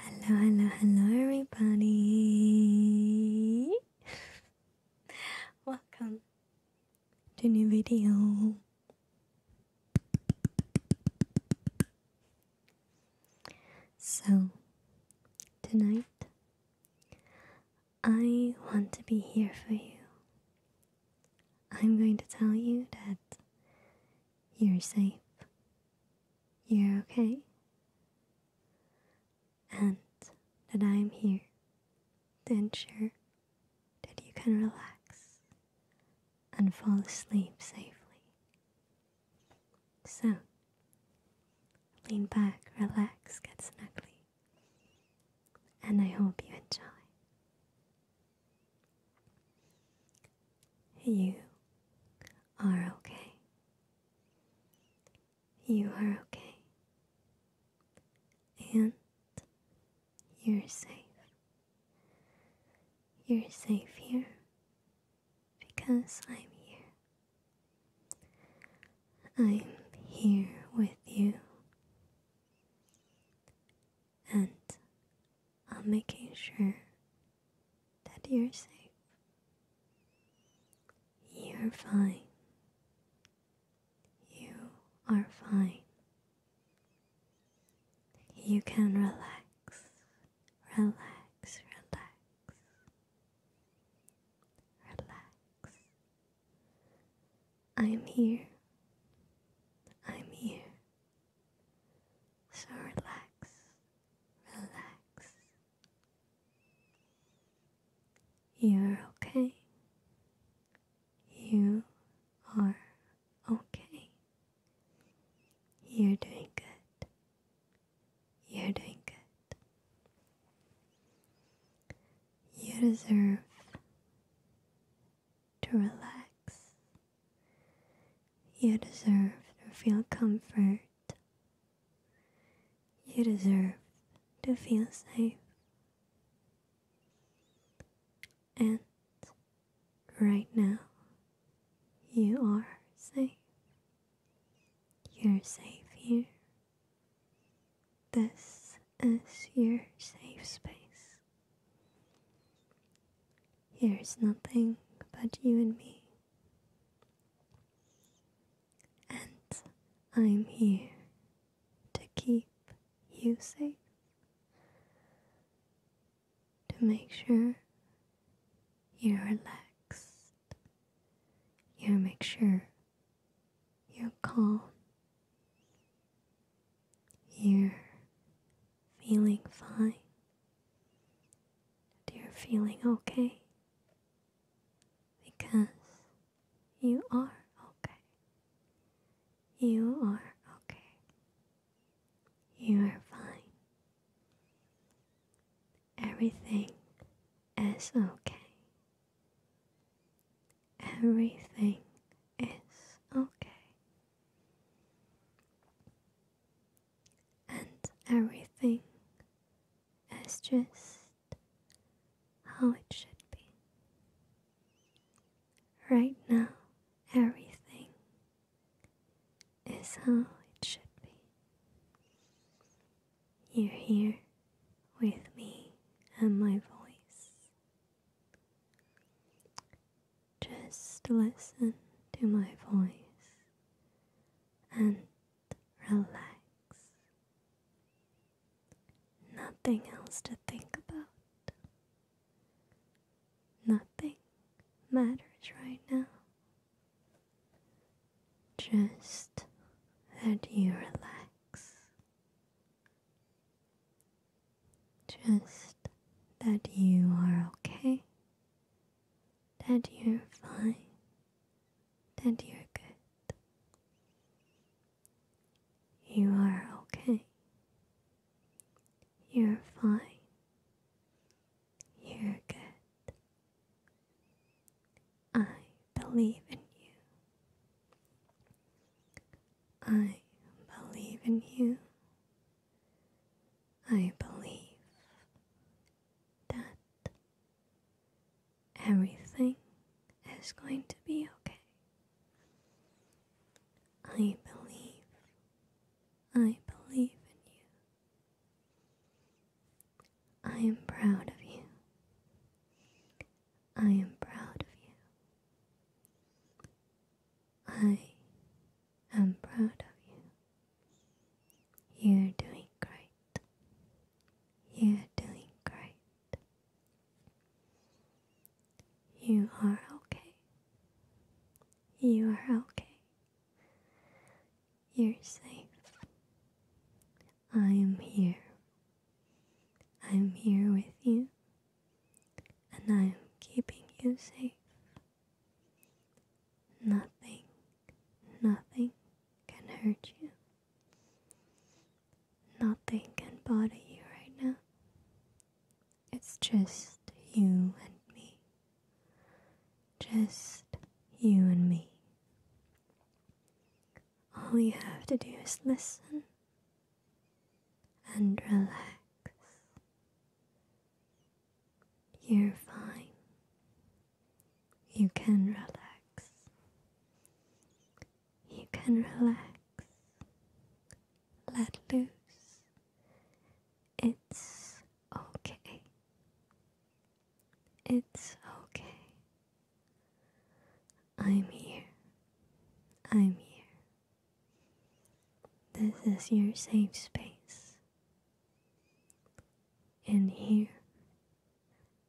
Hello, hello, hello, everybody. Welcome to new video. So, tonight I want to be here for you. I'm going to tell you that you're safe. You're okay. And that I am here to ensure that you can relax and fall asleep safely. So, lean back, relax, get snuggly, and I hope you enjoy. You are okay. You are okay. And you're safe. You're safe here because I'm here. I'm here with you and I'm making sure that you're safe. You're fine. You are fine. You can relax, relax, relax, relax. I'm here. I'm here. So relax, relax. You're okay. You are okay. You're doing good. You're doing good. You deserve to relax you deserve to feel comfort. You deserve to feel safe. And right now, you are safe. You're safe here. This is your safe space. Here is nothing but you and me. And I'm here to keep you safe, to make sure you're relaxed, you make sure you're calm, you're feeling fine. You're feeling okay. Because you are okay. You are okay. You are fine. Everything is okay. Everything is okay and everything is just how it should be. Right now, everything is how it should be. You're here with me and my voice. Just listen to my voice and relax. Nothing else to think about. Nothing matters right now. Just that you relax. Just that you are okay, that you're fine, that you're good. You are okay, you're fine, you're good. I believe in you. I believe in you. I believe that everything is going to be okay. I believe, I believe in you. I am proud of you. I am proud of you. I I'm proud of you. You're doing great. You're doing great. You are okay. You are okay. You're safe. I am here. I am here with you, and I am keeping you safe. Nothing, nothing can hurt you. Nothing can bother you right now. It's just you and me. Just you and me. All you have to do is listen and relax. You're fine. You can relax. You can relax. Let loose. It's okay. It's okay. I'm here. I'm here. This is your safe space. And here,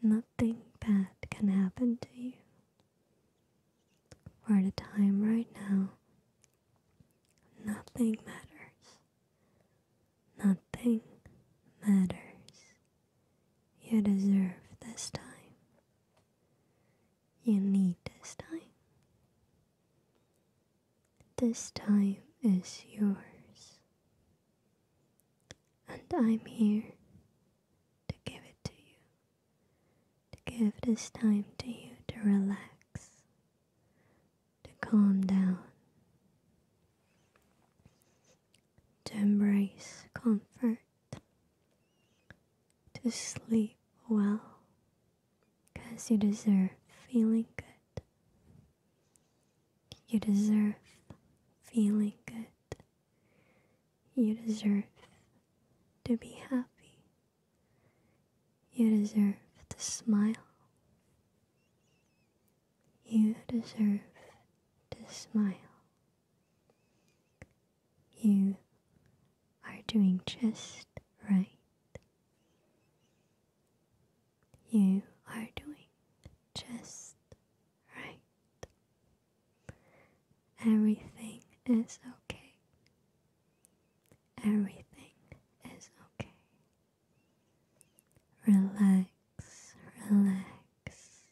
nothing bad can happen to you. For the time right now, nothing matters. Nothing matters. You deserve this time. You need this time. This time is yours, and I'm here to give it to you, to give this time to you to relax, to calm down, to embrace comfort, to sleep well. Because you deserve feeling good. You deserve feeling good. You deserve to be happy. You deserve to smile. You deserve to smile. You are doing just right. You are doing just right. Everything is okay. Everything is okay. Relax, relax.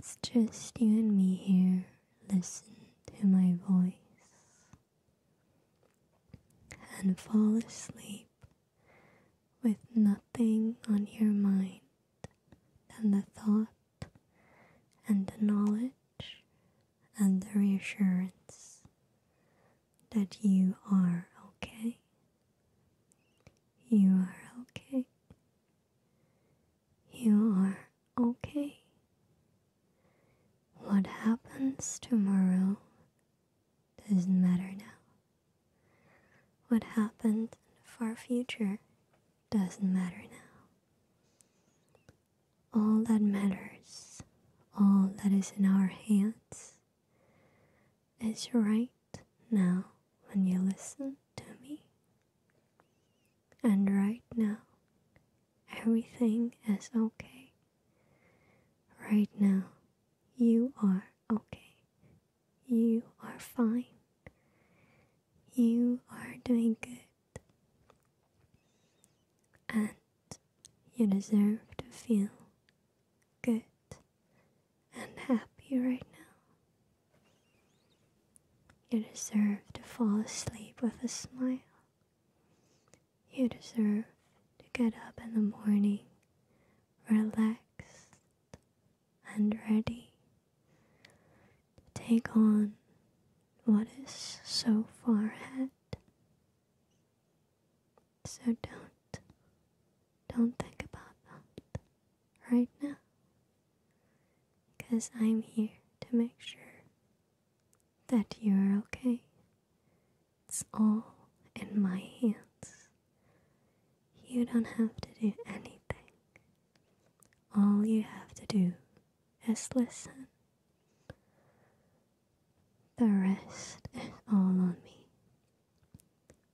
It's just you and me here listen to my voice and fall asleep with nothing on your mind and the thought and the knowledge and the reassurance that you are okay. You are okay. You are okay. What happens tomorrow doesn't matter now. What happened in the far future doesn't matter now. All that matters, all that is in our hands, is right now when you listen to me and right now, everything is okay. Right now, you are okay. You are fine. You are doing good. And you deserve to feel good and happy right now. You deserve to fall asleep with a smile. You deserve to get up in the morning relaxed and ready to take on what is so far ahead. So don't, don't think about that right now because I'm here to make sure that you're okay. It's all in my hands. You don't have to do anything. All you have to do is listen. The rest is all on me.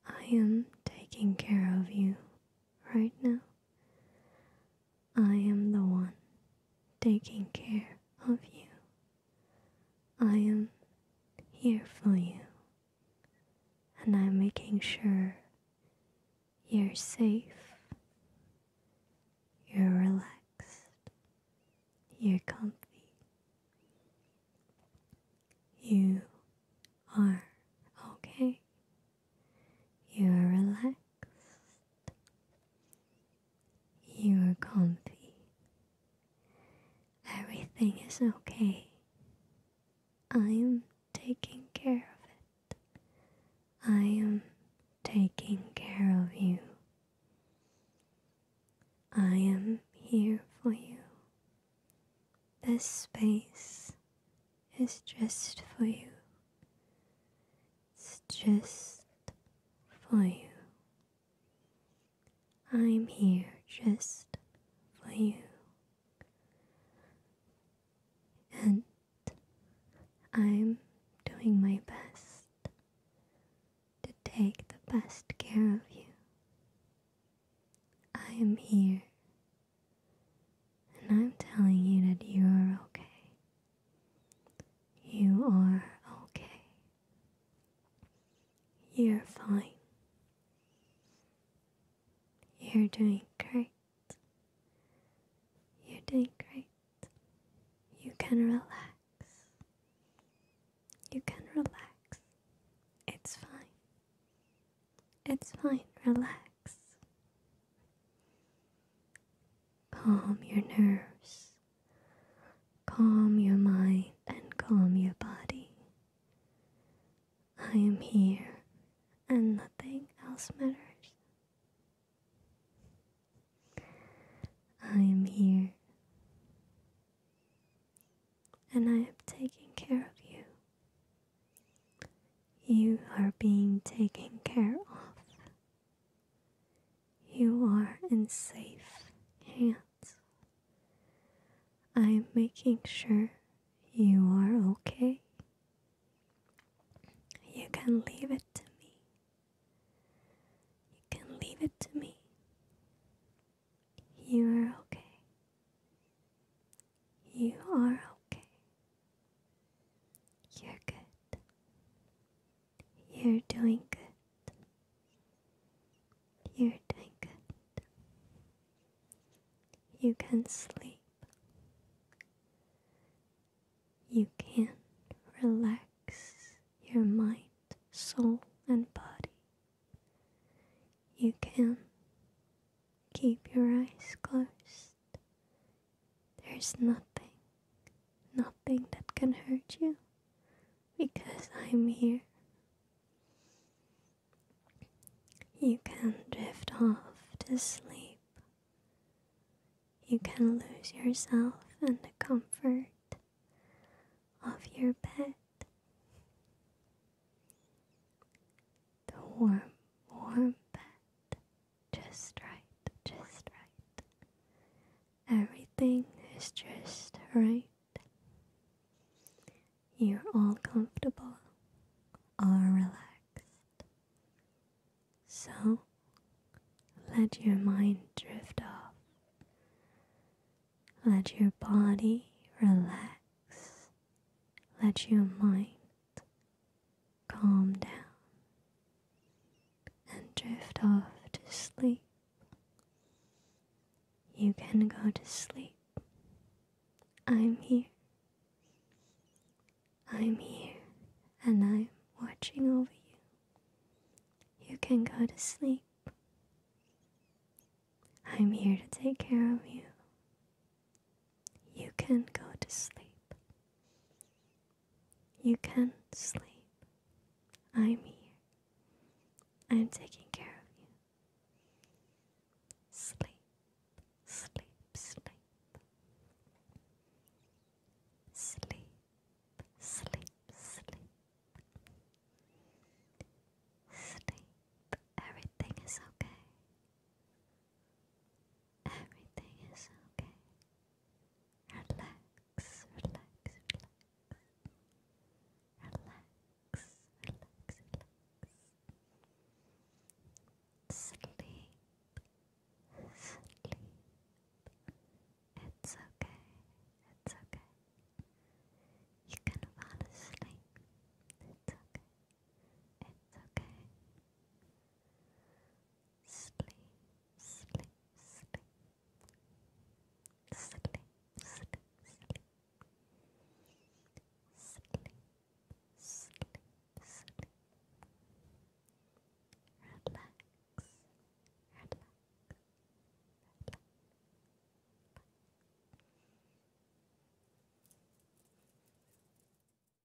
I am taking care of you right now. I am the one taking care of you. I am here for you. And I'm making sure you're safe, you're relaxed, you're comfy. You are okay. You are relaxed. You are comfy. Everything is okay. I am taking care of it. I am taking care of you. I am here for you. This space is just for you. It's just for you. I'm here just for you. And I'm doing my best to take the best care of you. I am here. And I'm telling you that you are okay. You are okay. You're fine. You're doing great. You're doing great. You can relax. You can relax. It's fine. It's fine. Relax. Calm your nerves, calm your mind, and calm your body. I am here, and nothing else matters. I am here, and I am taking care of you. You are being taken care of. You are in safe hands. I'm making sure you are okay. You can leave it to me. You can leave it to me. You are okay. You are okay. You're good. You're doing good. You're doing good. You can sleep. You can relax your mind, soul, and body. You can keep your eyes closed there's nothing, nothing that can hurt you because I'm here. You can drift off to sleep. You can lose yourself in the comfort of your bed. The warm, warm bed just right, just right. Everything is just right. You're all comfortable, all relaxed. So let your mind drift off. Let your body relax. Let your mind calm down and drift off to sleep. You can go to sleep. I'm here. I'm here and I'm watching over you. You can go to sleep. I'm here to take care of you. You can go to sleep. You can sleep. I'm here. I'm taking care of you. Sleep, sleep, sleep. Sleep, sleep, sleep. Sleep. Everything is okay. Everything is okay. Relax, relax, relax. Relax, relax, relax. Sleep, sleep. It's okay, it's okay. You can fall asleep. It's okay, it's okay sleep, sleep, sleep, sleep, sleep, sleep, sleep, sleep, sleep. Relax, relax, relax. Bye.